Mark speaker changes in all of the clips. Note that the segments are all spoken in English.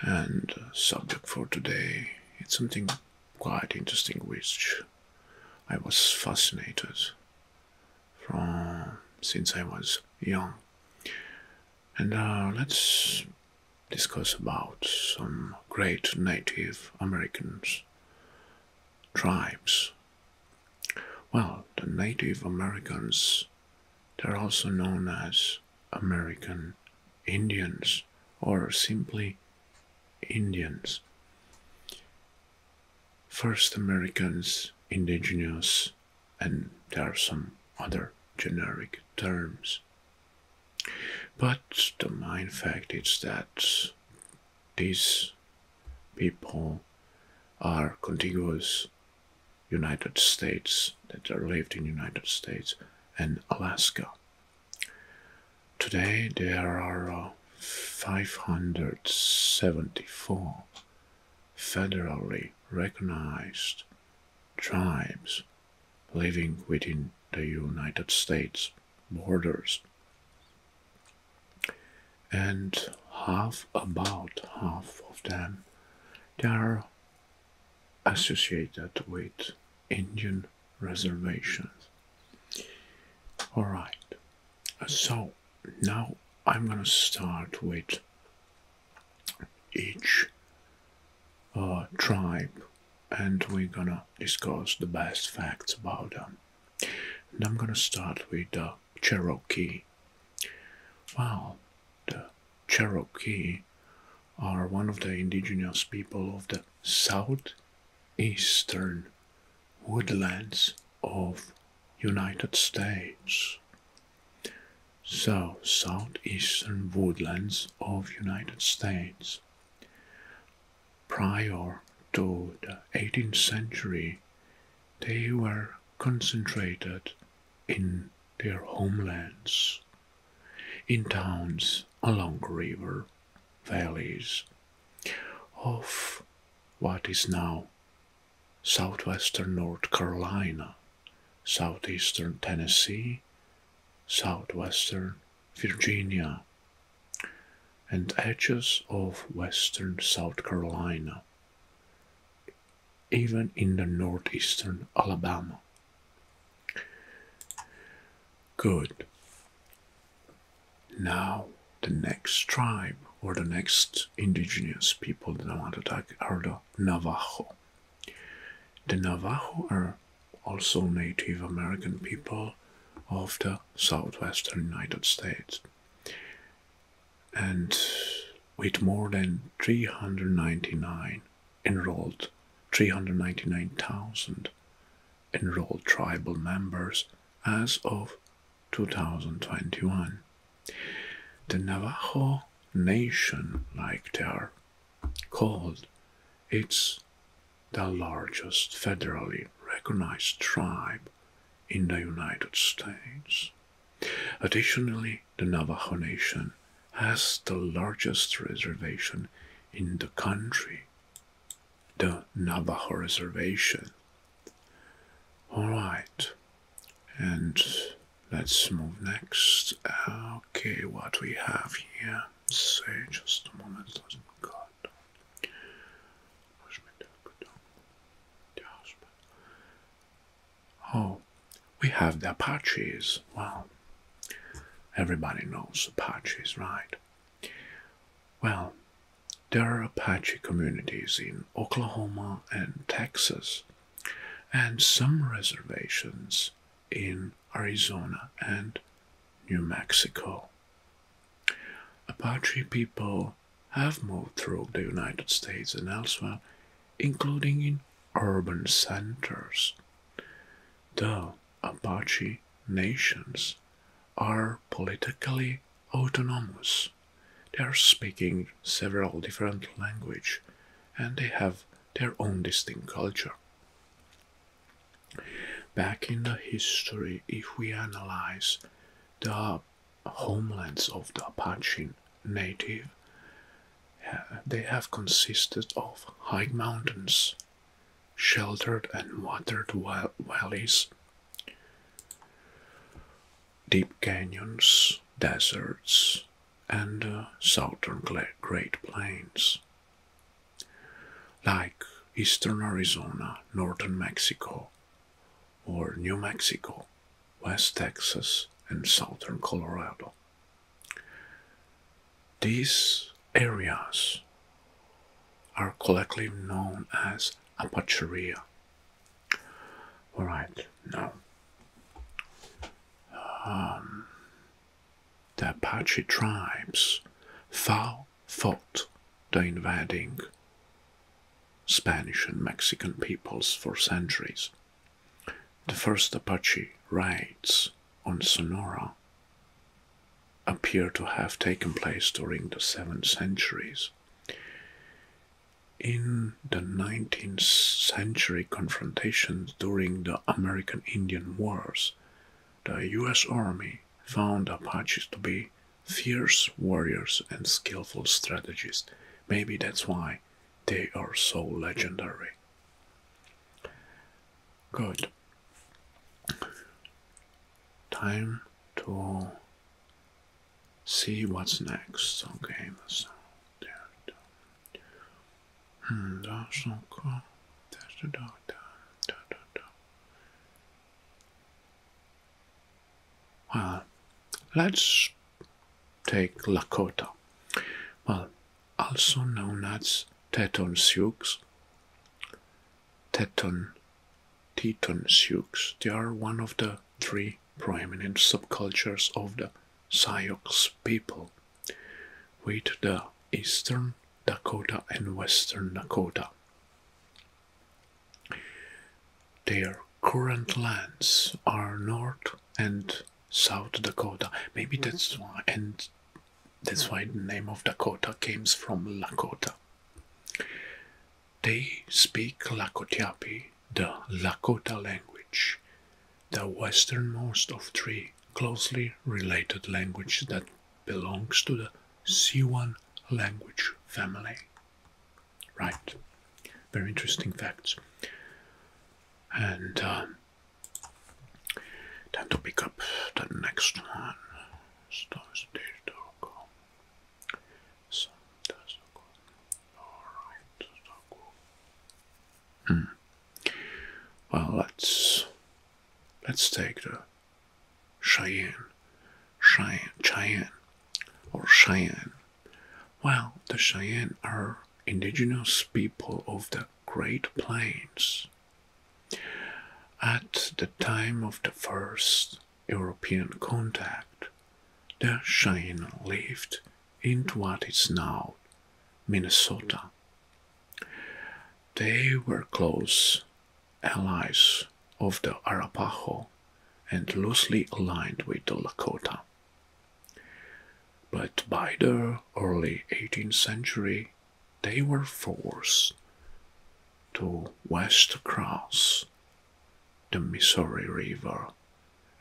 Speaker 1: And uh, subject for today, it's something quite interesting which I was fascinated from since I was young. And now uh, let's discuss about some great Native Americans tribes. Well, the Native Americans they're also known as American Indians or simply Indians. First Americans, indigenous, and there are some other generic terms. But the main fact is that these people are contiguous United States that lived in United States and Alaska. Today there are uh, 574 federally recognized tribes living within the United States borders. And half, about half of them, there. are associated with Indian reservations. Alright, so now I'm gonna start with each uh, tribe and we're gonna discuss the best facts about them. And I'm gonna start with the Cherokee. Wow, the Cherokee are one of the indigenous people of the southeastern woodlands of United States. So, southeastern woodlands of United States. Prior to the 18th century, they were concentrated in their homelands in towns along river valleys of what is now southwestern North Carolina, southeastern Tennessee, southwestern Virginia, and edges of western South Carolina, even in the northeastern Alabama. Good. Now, the next tribe or the next indigenous people that I want to talk are the Navajo. The Navajo are also Native American people of the southwestern United States. And with more than 399 enrolled 399,000 enrolled tribal members as of 2021. The Navajo Nation, like they called, it's the largest federally recognized tribe in the United States. Additionally, the Navajo Nation has the largest reservation in the country, the Navajo Reservation. All right, and let's move next. Okay, what we have here, say just a moment, God. Oh, we have the Apaches. Well, everybody knows the Apaches, right? Well, there are Apache communities in Oklahoma and Texas, and some reservations in Arizona and New Mexico. Apache people have moved through the United States and elsewhere, including in urban centers the Apache nations are politically autonomous, they are speaking several different languages and they have their own distinct culture. Back in the history, if we analyze the homelands of the Apache native, they have consisted of high mountains, sheltered and watered valleys, deep canyons, deserts, and uh, southern Great Plains. Like eastern Arizona, northern Mexico, or New Mexico, west Texas, and southern Colorado. These areas are collectively known as Apacheria. Alright, now um, the Apache tribes fought the invading Spanish and Mexican peoples for centuries. The first Apache raids on Sonora appear to have taken place during the 7th centuries. In the 19th century confrontations during the American Indian Wars, the US Army found Apaches to be fierce warriors and skillful strategists. Maybe that's why they are so legendary. Good. Time to see what's next. Okay, so there. Hmm, that's okay. Da, da, Well, let's take Lakota. Well, also known as Teton Sioux. Teton, Teton Sioux, they are one of the three prominent subcultures of the Sioux people, with the Eastern Dakota and Western Dakota. Their current lands are north and South Dakota. Maybe that's why, and that's why the name of Dakota comes from Lakota. They speak Lakotiapi, the Lakota language, the westernmost of three closely related languages that belongs to the Siwan language family. Right, very interesting facts. And um, Time to pick up the next one. So hmm. Well let's let's take the Cheyenne. Cheyenne Cheyenne or Cheyenne. Well the Cheyenne are indigenous people of the Great Plains. At the time of the first European contact, the Cheyenne lived in what is now Minnesota. They were close allies of the Arapaho and loosely aligned with the Lakota but by the early 18th century they were forced to west cross the Missouri River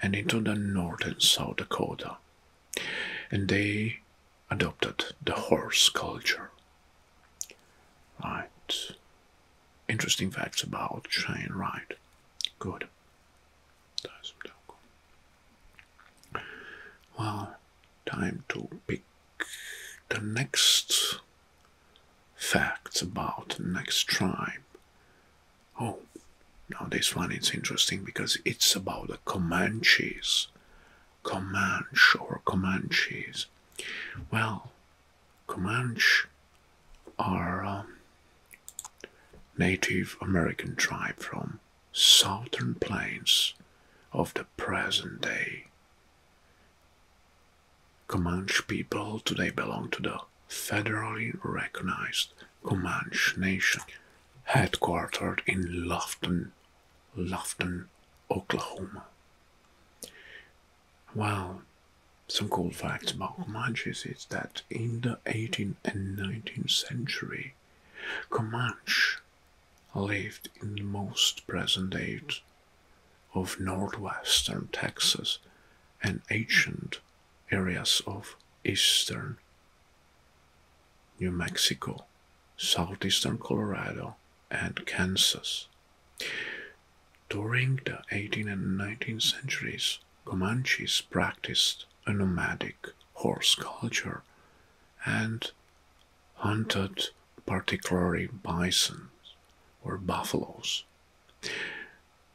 Speaker 1: and into the northern South Dakota, and they adopted the horse culture. Right. Interesting facts about Shane Wright. Good. Well, time to pick the next facts about next tribe. Oh, now this one is interesting because it's about the Comanches. Comanche or Comanches. Well, Comanche are um, Native American tribe from southern plains of the present day. Comanche people today belong to the federally recognized Comanche Nation, headquartered in Lofton, Lofton, Oklahoma. Well, some cool facts about Comanches is that in the 18th and 19th century, Comanche lived in most present day of northwestern Texas and ancient areas of eastern New Mexico, southeastern Colorado, and Kansas. During the 18th and 19th centuries, Comanches practiced a nomadic horse culture and hunted particularly bison or buffaloes.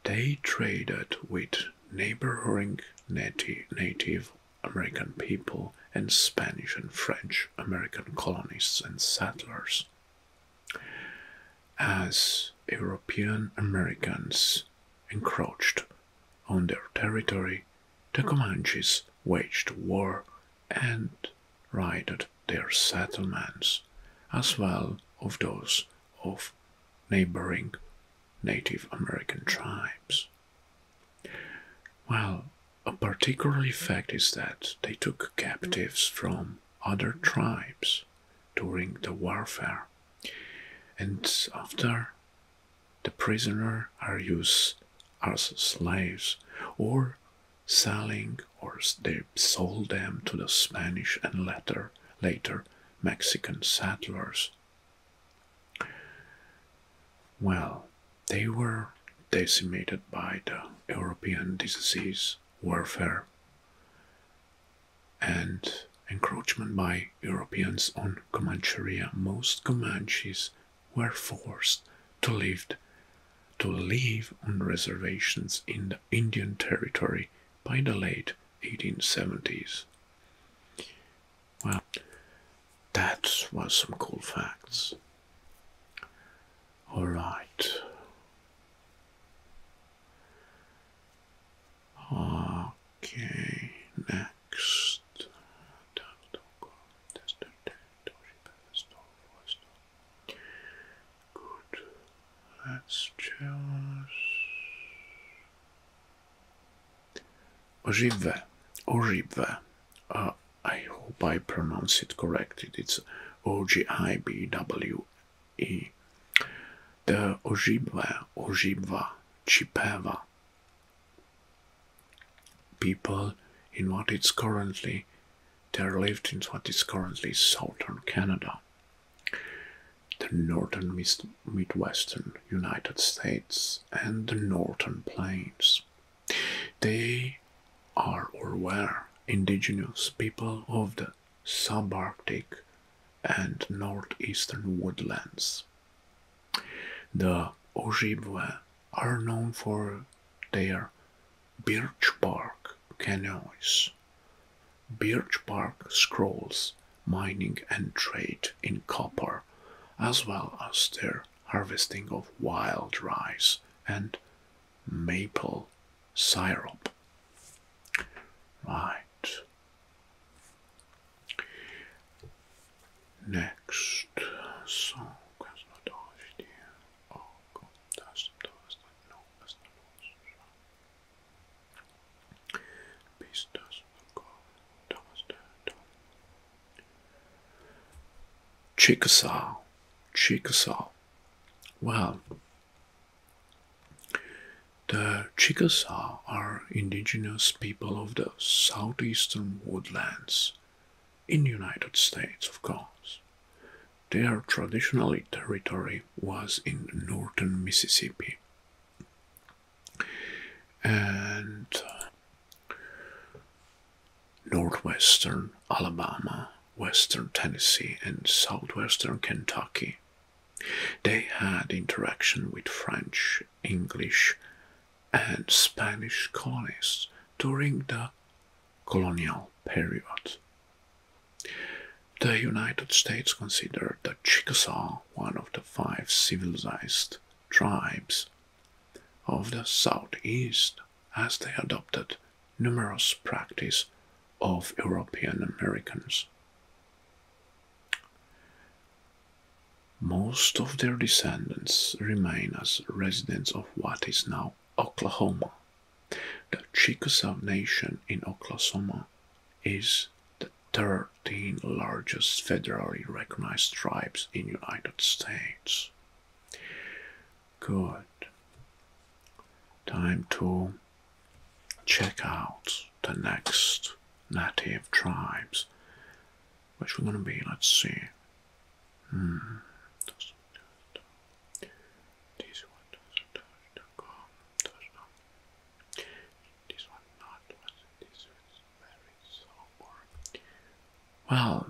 Speaker 1: They traded with neighboring nati Native American people and Spanish and French American colonists and settlers. As European Americans encroached on their territory, the Comanches waged war and raided their settlements, as well as those of neighboring Native American tribes. Well, a particularly fact is that they took captives from other tribes during the warfare, and after the prisoners are used as slaves or selling or they sold them to the Spanish and later, later Mexican settlers. Well, they were decimated by the European disease warfare and encroachment by Europeans on Comancheria. Most Comanches were forced to live to live on reservations in the Indian Territory by the late 1870s. Well, that was some cool facts. All right. Okay, next Tabletop.com Good. Let's choose Ojive. Ojive. Uh, I hope I pronounce it correctly. It's O-J-I-B-W-E. The Ojibwe, Ojibwa, Chippewa people in what is currently there lived in what is currently southern Canada, the northern Midwestern United States, and the northern plains. They are or were indigenous people of the subarctic and northeastern woodlands. The Ojibwe are known for their birch bark canoes, birch bark scrolls, mining and trade in copper, as well as their harvesting of wild rice and maple syrup. Right. Next song has not oh, the doors that know as Chickasaw, Chickasaw. Well, the Chickasaw are indigenous people of the southeastern woodlands in United States, of course. Their traditional territory was in northern Mississippi. And uh, northwestern Alabama, western Tennessee, and southwestern Kentucky. They had interaction with French, English, and Spanish colonists during the colonial period. The United States considered the Chickasaw one of the five civilized tribes of the Southeast as they adopted numerous practices of European Americans. Most of their descendants remain as residents of what is now Oklahoma. The Chickasaw Nation in Oklahoma is the 13th largest federally recognized tribe in United States. Good. Time to check out the next native tribes which one will going be, let's see. This hmm. Well,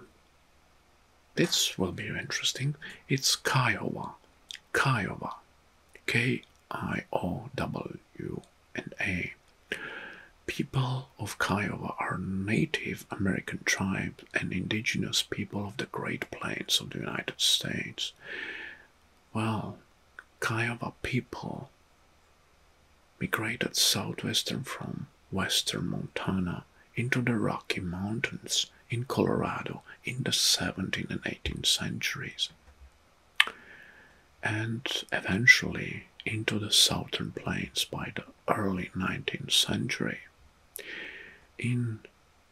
Speaker 1: this will be interesting. It's Kiowa. Kiowa. K I O W N A. People of Kiowa are Native American tribes and indigenous people of the Great Plains of the United States. Well, Kiowa people migrated southwestern from western Montana into the Rocky Mountains in Colorado in the 17th and 18th centuries and eventually into the southern plains by the early 19th century. In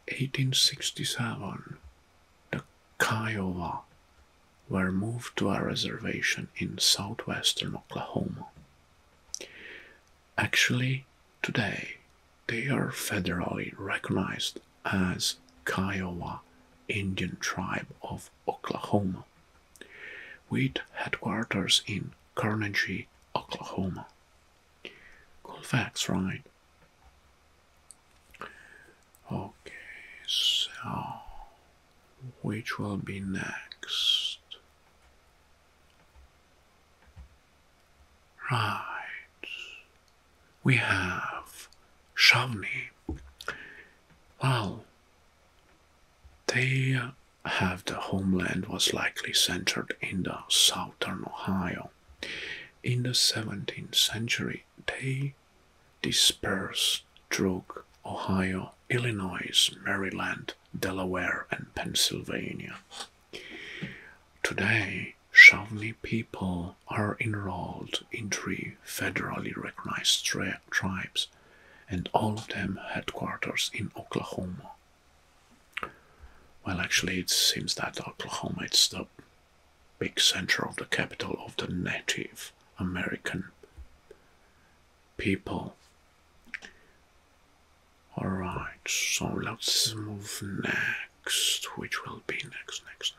Speaker 1: 1867, the Kiowa were moved to a reservation in southwestern Oklahoma. Actually, today they are federally recognized as Kiowa Indian Tribe of Oklahoma with headquarters in Carnegie, Oklahoma. Cool facts, right? Okay, so which will be next? Right, we have Shavni. Well, they have the homeland was likely centered in the southern Ohio. In the 17th century, they dispersed through Ohio, Illinois, Maryland, Delaware, and Pennsylvania. Today, Shawnee people are enrolled in three federally recognized tribes and all of them headquarters in Oklahoma. Well, actually, it seems that Oklahoma is the big center of the capital of the Native American people. Alright, so let's move next, which will be next, next, next.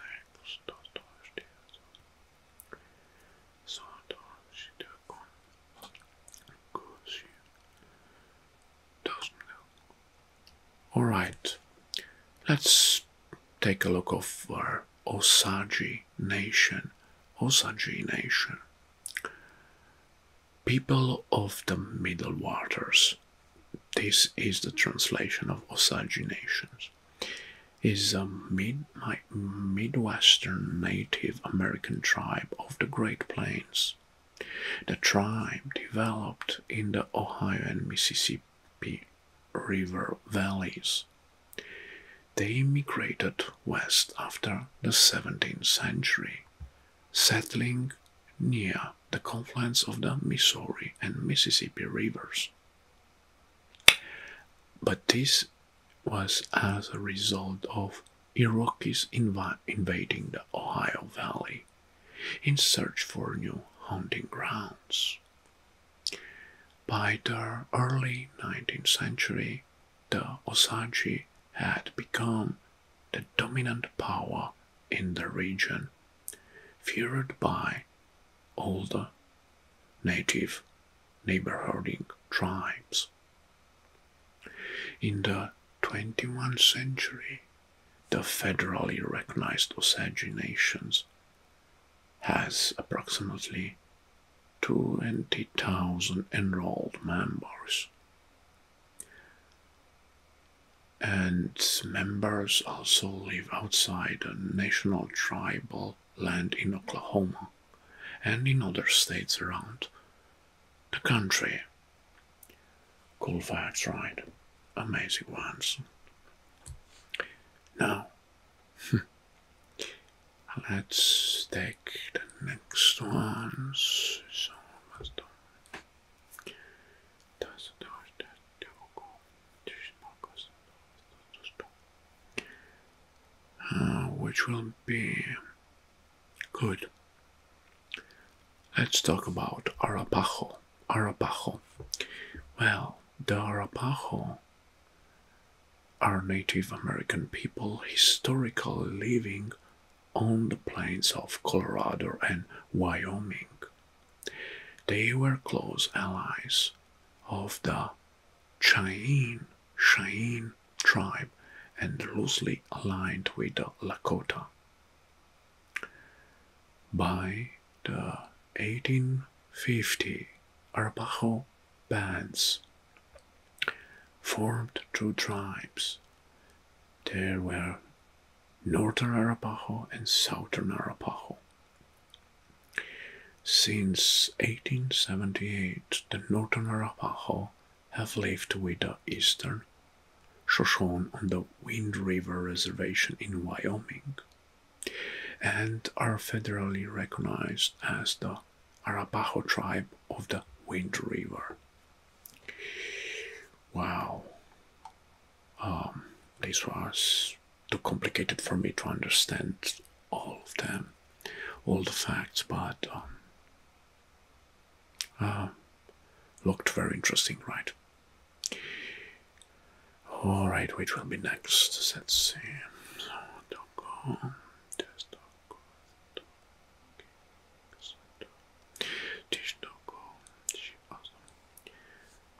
Speaker 1: Of course doesn't know. Alright, let's take a look of our Osage Nation. Osage Nation. People of the Middle Waters. This is the translation of Osage Nations. Is a mid Midwestern Native American tribe of the Great Plains. The tribe developed in the Ohio and Mississippi River valleys. They immigrated west after the 17th century, settling near the confluence of the Missouri and Mississippi rivers. But this was as a result of Iroquois invading the Ohio Valley in search for new hunting grounds. By the early 19th century, the Osage had become the dominant power in the region, feared by older native neighboring tribes. In the 21st century, the federally recognized Osage Nations has approximately 20,000 enrolled members. And members also live outside the national tribal land in Oklahoma and in other states around the country. Cool facts, right? Amazing ones. Now, let's take the next ones. Ah, which will be good. Let's talk about Arapaho. Arapaho. Well, the Arapaho are Native American people historically living on the plains of Colorado and Wyoming. They were close allies of the Cheyenne, Cheyenne tribe and loosely aligned with the Lakota. By the 1850, Arapaho bands formed two tribes. There were Northern Arapaho and Southern Arapaho. Since 1878, the Northern Arapaho have lived with the Eastern Shoshone on the Wind River Reservation in Wyoming and are federally recognized as the Arapaho tribe of the Wind River. Wow. Um, this was too complicated for me to understand all of them, all the facts, but um, uh, looked very interesting, right? All right, which will be next? Let's see.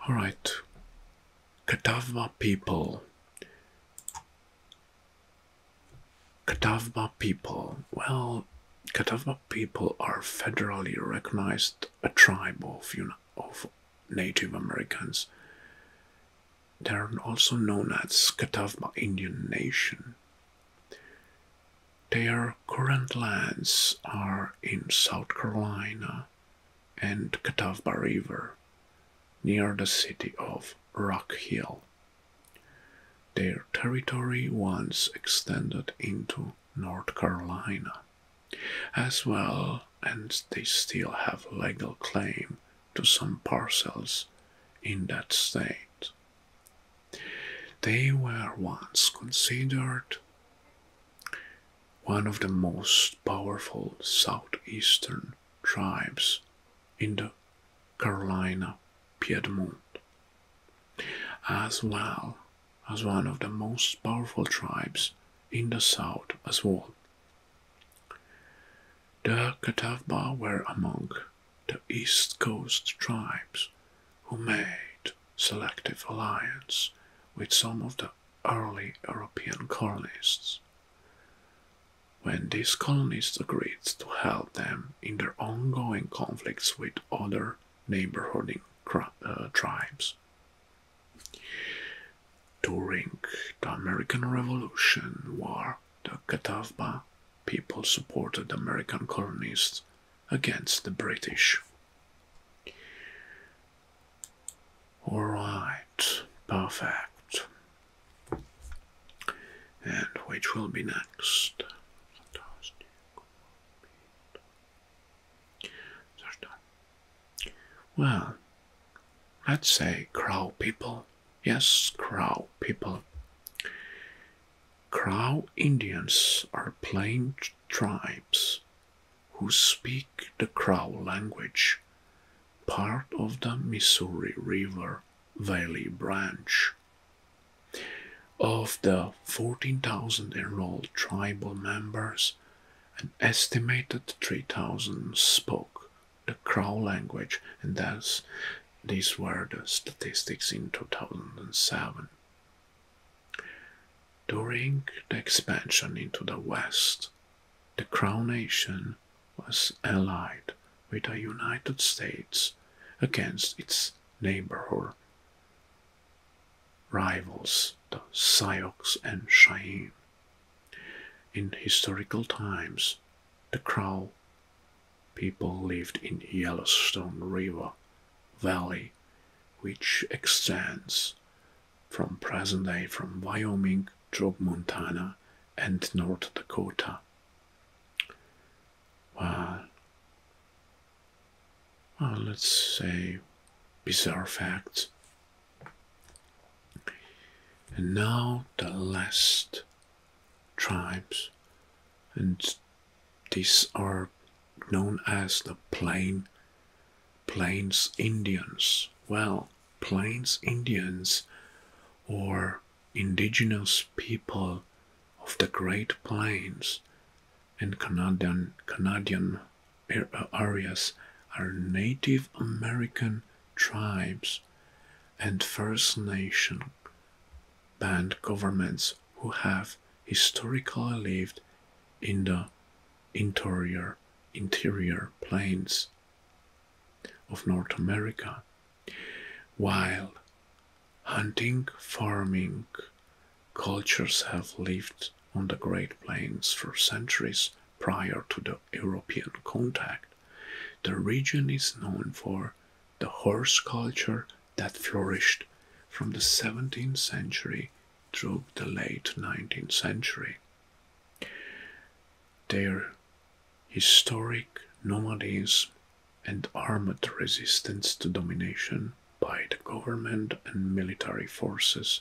Speaker 1: All right, Kadavma people Catawba people. Well, Catawba people are federally recognized a tribe of, of Native Americans. They're also known as Catawba Indian Nation. Their current lands are in South Carolina and Catawba River, near the city of Rock Hill, their territory once extended into North Carolina as well, and they still have legal claim to some parcels in that state. They were once considered one of the most powerful southeastern tribes in the Carolina Piedmont, as well as one of the most powerful tribes in the south as well. The Catawba were among the East Coast tribes who made selective alliance with some of the early European colonists when these colonists agreed to help them in their ongoing conflicts with other neighboring uh, tribes. During the American Revolution War, the Catawba people supported the American colonists against the British. Alright, perfect. And which will be next? Well, let's say crow people. Yes, crow people. Crow Indians are plain tribes who speak the Crow language, part of the Missouri River Valley branch. Of the 14,000 enrolled tribal members, an estimated 3,000 spoke the Crow language, and thus these were the statistics in 2007. During the expansion into the West, the Crow Nation was allied with the United States against its neighbor rivals, the Sioux and Cheyenne. In historical times, the Crow people lived in Yellowstone River Valley, which extends from present day from Wyoming through Montana and North Dakota well, well let's say bizarre facts. And now the last tribes, and these are known as the Plain Plains Indians. Well, Plains Indians, or indigenous people of the Great Plains and Canadian, Canadian areas are Native American tribes and First Nation band governments who have historically lived in the interior interior plains of North America while hunting, farming cultures have lived on the Great Plains for centuries prior to the European contact, the region is known for the horse culture that flourished from the 17th century through the late 19th century. Their historic nomadism and armed resistance to domination by the government and military forces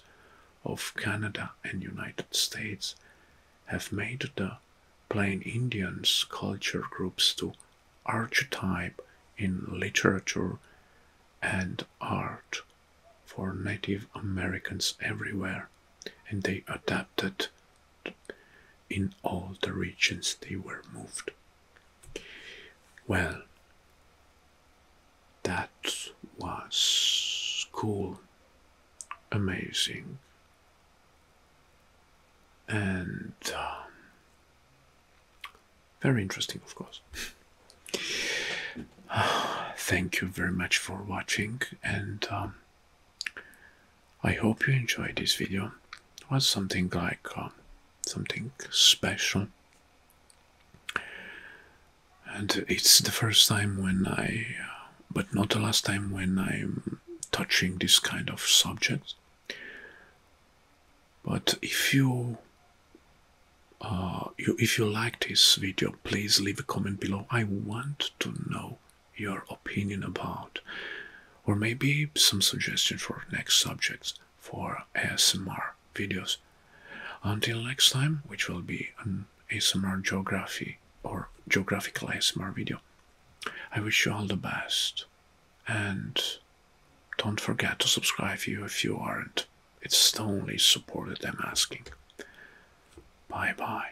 Speaker 1: of Canada and United States have made the Plain Indians culture groups to archetype in literature and art for Native Americans everywhere, and they adapted in all the regions they were moved. Well, that was cool, amazing, and um, very interesting, of course. Thank you very much for watching, and um, I hope you enjoyed this video. It was something like um, something special. And it's the first time when I, uh, but not the last time when I'm touching this kind of subject. But if you, uh, if you like this video, please leave a comment below. I want to know your opinion about, or maybe some suggestions for next subjects for ASMR videos. Until next time, which will be an ASMR geography or geographical ASMR video. I wish you all the best and don't forget to subscribe if you aren't. It's the only support that I'm asking. Bye bye.